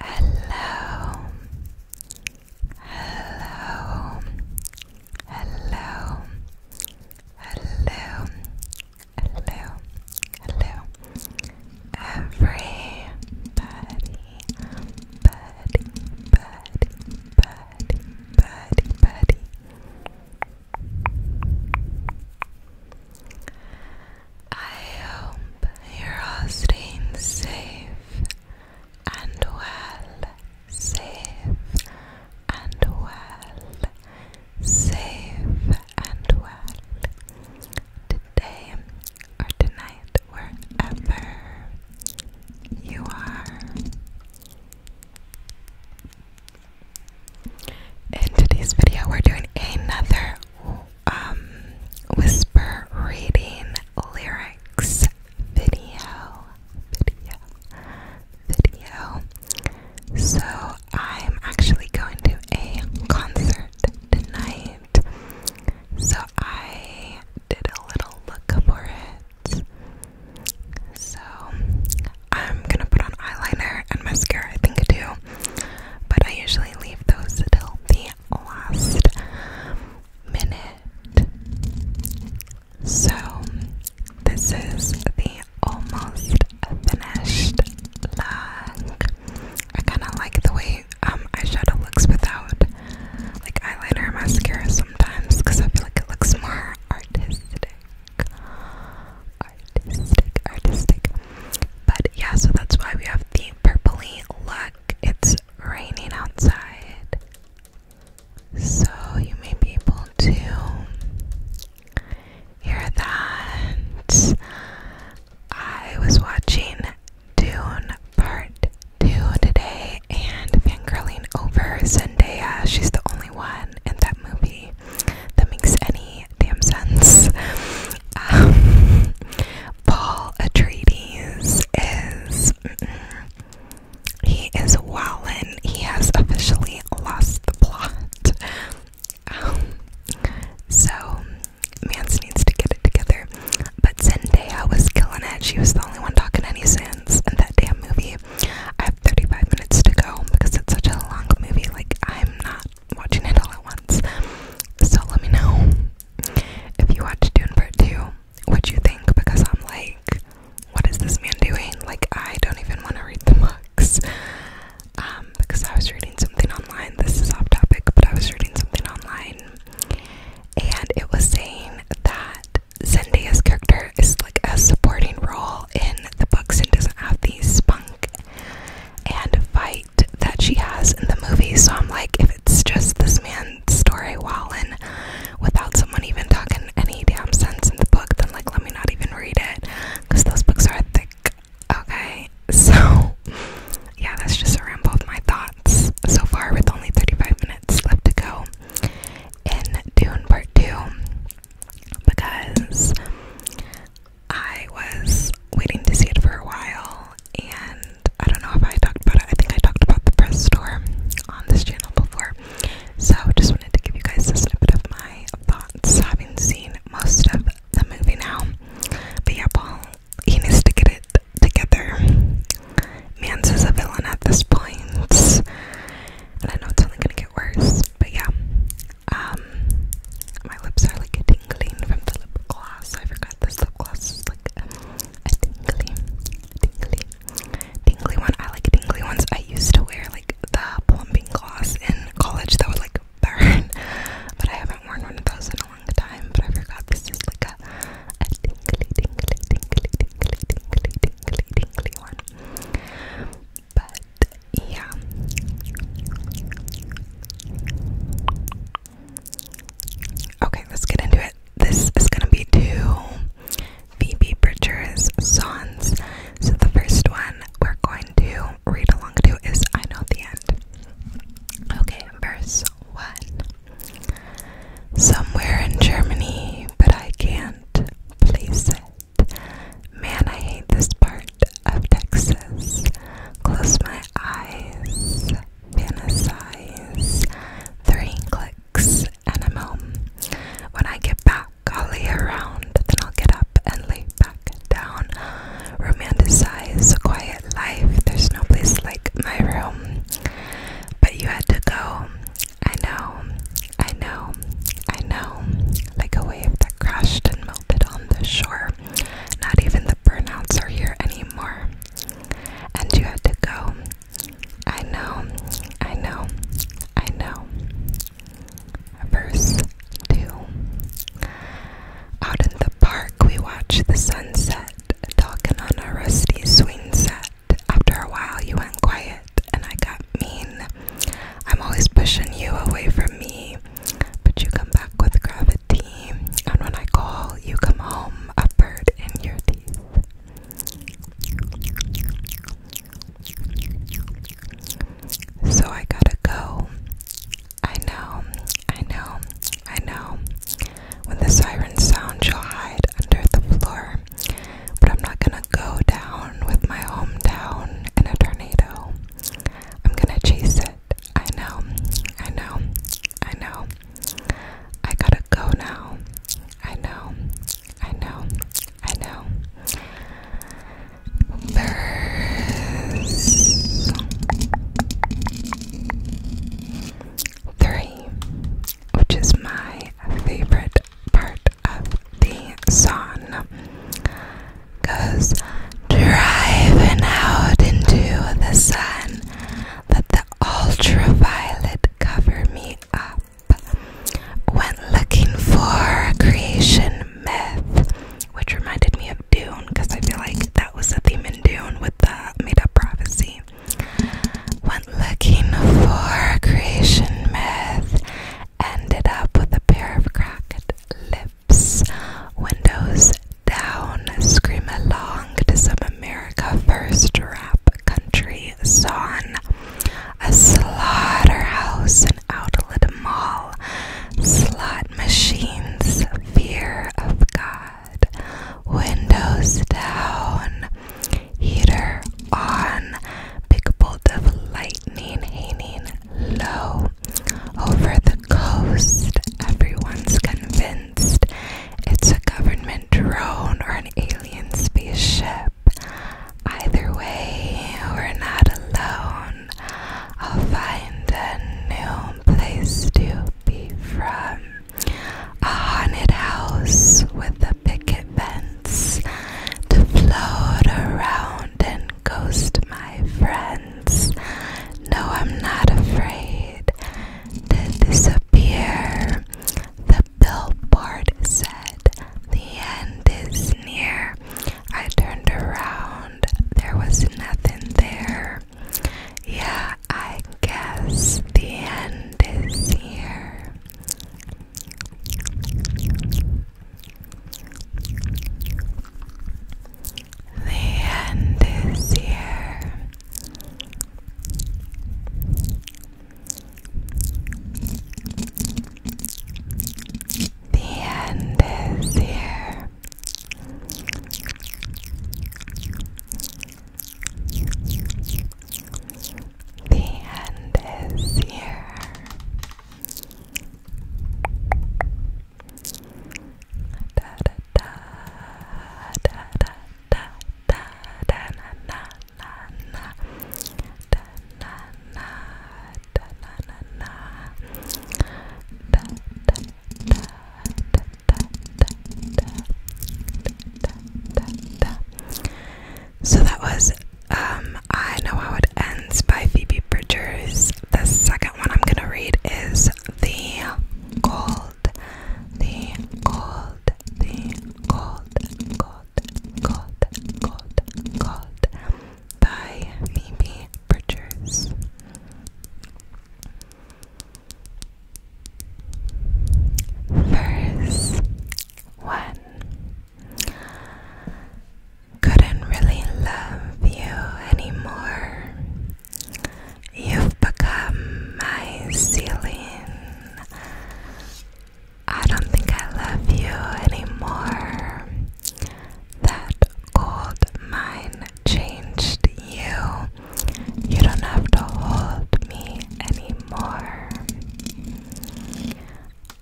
Hello, hello, hello, hello, hello, hello, everybody, buddy, buddy, buddy, buddy, buddy. I hope you're all staying safe and well, safe and well, safe and well. Today or tonight, wherever you are. In today's video, we're doing another um, whisper reading lyrics video, video, video. So I'm actually going to a concert tonight. So I did a little look for it. So I'm gonna put on eyeliner and mascara, I think, I do. But I usually leave those till the last minute. So, this is the almost finished look. I kind of like the way um, eyeshadow looks without like eyeliner or mascara sometimes because I feel like it looks more artistic. Artistic, artistic. But yeah, so that's why we have the purpley look. It's raining outside. So you may be able to hear that. I was watching Dune Part 2 today and fangirling over Zendaya. She's the only one in that movie that makes any damn sense. Um, Paul Atreides is. He is Wallen. He has officially lost the plot. Um, so, Mance needs to get it together. But Zendaya was killing it. She was the only one talking any sense in that damn movie. I have 35 minutes to go because it's such a long movie. Like, I'm not watching it all at once. So let me know if you watched Dune Part 2, what do you think, because I'm like, what is this man doing? Like, I don't even want to read the books. Um, because I was reading something online. This is off topic, but I was reading something online and it was saying that Zendaya's character is like a supporting role in the books and doesn't have the spunk and fight that she has in the movie. So I'm like, if it's just this man's story, and without someone even talking any damn sense in the book, then like, let me not even read it because those books are thick. Okay, so yeah, that's just a ramble of my thoughts so far with only 35 minutes left to go in Dune Part 2 because I was waiting to see it for a while, and I don't know if I talked about it. I think I talked about the press store on this channel before. So, just wanted to give you guys a snippet of my thoughts, having seen most of the movie now. But yeah, Paul, he needs to get it together. Mans is a villain at this point, and I know it's only gonna get worse. But yeah, um, my lips are like tingling from the lip gloss. I forgot this lip gloss is like a tingly, tingly, tingly one. I like tingly ones. I used to wear like the plumping gloss in college that would like burn, but I haven't worn one of those in a long time. But I forgot this is like a, a tingly, tingly, tingly, tingly, tingly, tingly, tingly one. But yeah. Okay, let's get into it. This is gonna be two Phoebe Bridgers songs. So the first one we're going to read along to is I Know the End. Okay, verse one. Somewhere in Germany, but I can't place it. Man, I hate this part of Texas. Close my eyes, fantasize. Three clicks and I'm home. When I get back, I'll lay around, then I'll get up and lay back down. Romanticize a quiet life. There's no place like my room. But you had to go. I know, I know, I know. Like a wave that crashed and melted on the shore. Not even the burnouts are here anymore. And you had to go. I know, I know, I know. Verse 2 Out in the park, we watched the sunset, talking on a rusty swing set. After a while, you went quiet, and I got mean. I'm always pushing you away from me. But you come back with gravity, and when I call, you come home, a bird in your teeth. So I gotta go. I know, I know, I know. When the sirens sound, you'll hide under the floor. But I'm not gonna go down with my hometown in a tornado. I'm gonna chase it. I know, I know, I know. I gotta go now. I know, I know, I know. Verse three, which is my favorite part of the song goes driving out into the sun. Let the ultraviolet cover me up. Went looking for a creation myth, which reminded me of Dune, because I feel like that was the theme in Dune with the made up prophecy. Went looking for a creation myth, ended up with a pair of cracked lips windows down, scream along to some America First rap country song. A slaughterhouse, an outlet mall, slot machines, fear of God, windows down, heater on, big bolt of lightning hanging low, over the coast, everyone's convinced it's a government drone or an alien spaceship. Either way, we're not alone. I'll find a new place to be from. A haunted house with the picket fence to float around and ghost my friends. No, I'm not afraid to disappear. The billboard said the end is near. I turned around, there was nothing there. Yeah, I guess the end is near. The end is here. The end is here. The end is here so that was um, I Know How It Ends by Phoebe Bridgers the second what I'm gonna read is the gold, the gold, the gold, gold, gold, gold, gold by Mimi Bridgers. Verse one couldn't really love you anymore. You've become my ceiling. I don't think I love you anymore. That cold mind changed you. You don't have to hold me anymore.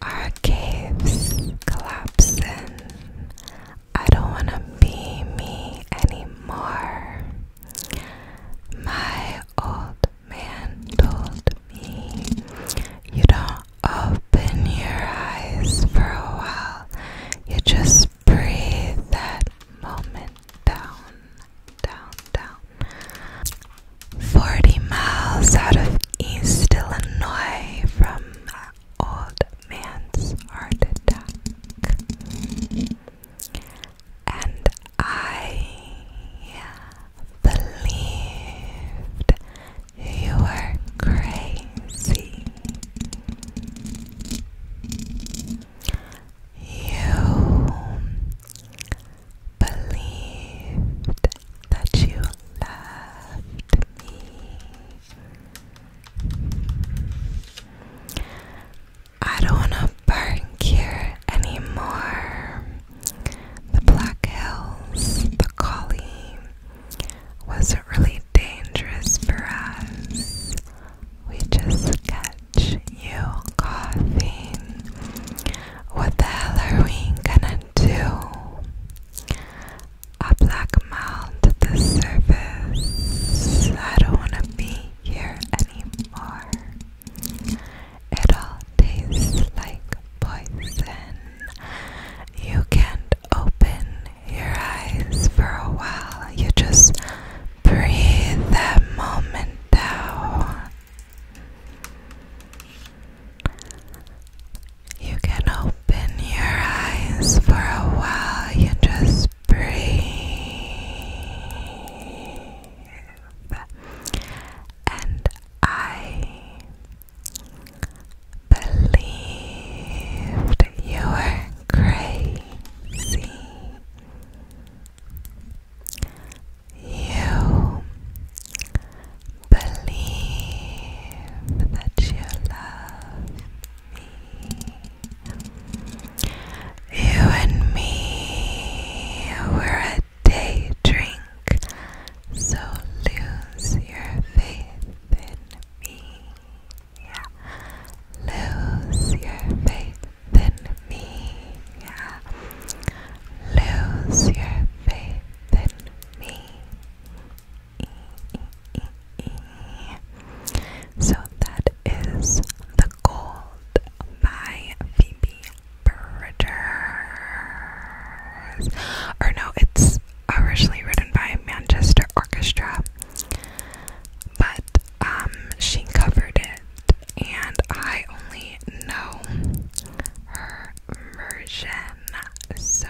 Our caves collapsing. I don't want to be me anymore. My old man told me, You don't open your eyes for a while, you just breathe that moment down, down, down. 40 miles out of East Illinois from old man's heart attack. And I believed you were crazy. You believed that you loved me. I don't want to burn here anymore. The Black Hills, the collie, wasn't really dangerous for us. We just catch you coughing. What the hell are we gonna do? a black mound at the surface. I don't want to be here anymore. It all tastes like poison. You can't open your eyes for a while. You just breathe that moment down. You can open your eyes for a while. You just breathe. And I believed you were crazy. You believe that you love you and me, we a day drink, so lose your faith in me. Yeah. Lose your faith in me. Yeah. Lose your faith in me. So that is The Gold by Phoebe Bridgers. Or no, it's originally written by Manchester Orchestra, but um, she covered it, and I only know her version. So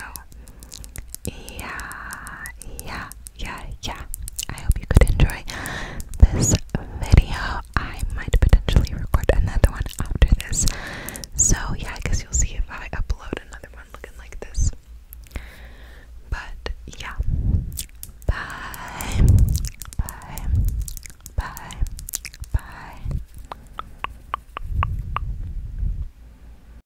yeah, yeah, yeah, yeah. I hope you could enjoy this video. I might potentially record another one after this. So, yeah, I guess you'll see if I upload another one looking like this. But, yeah. Bye. Bye. Bye. Bye.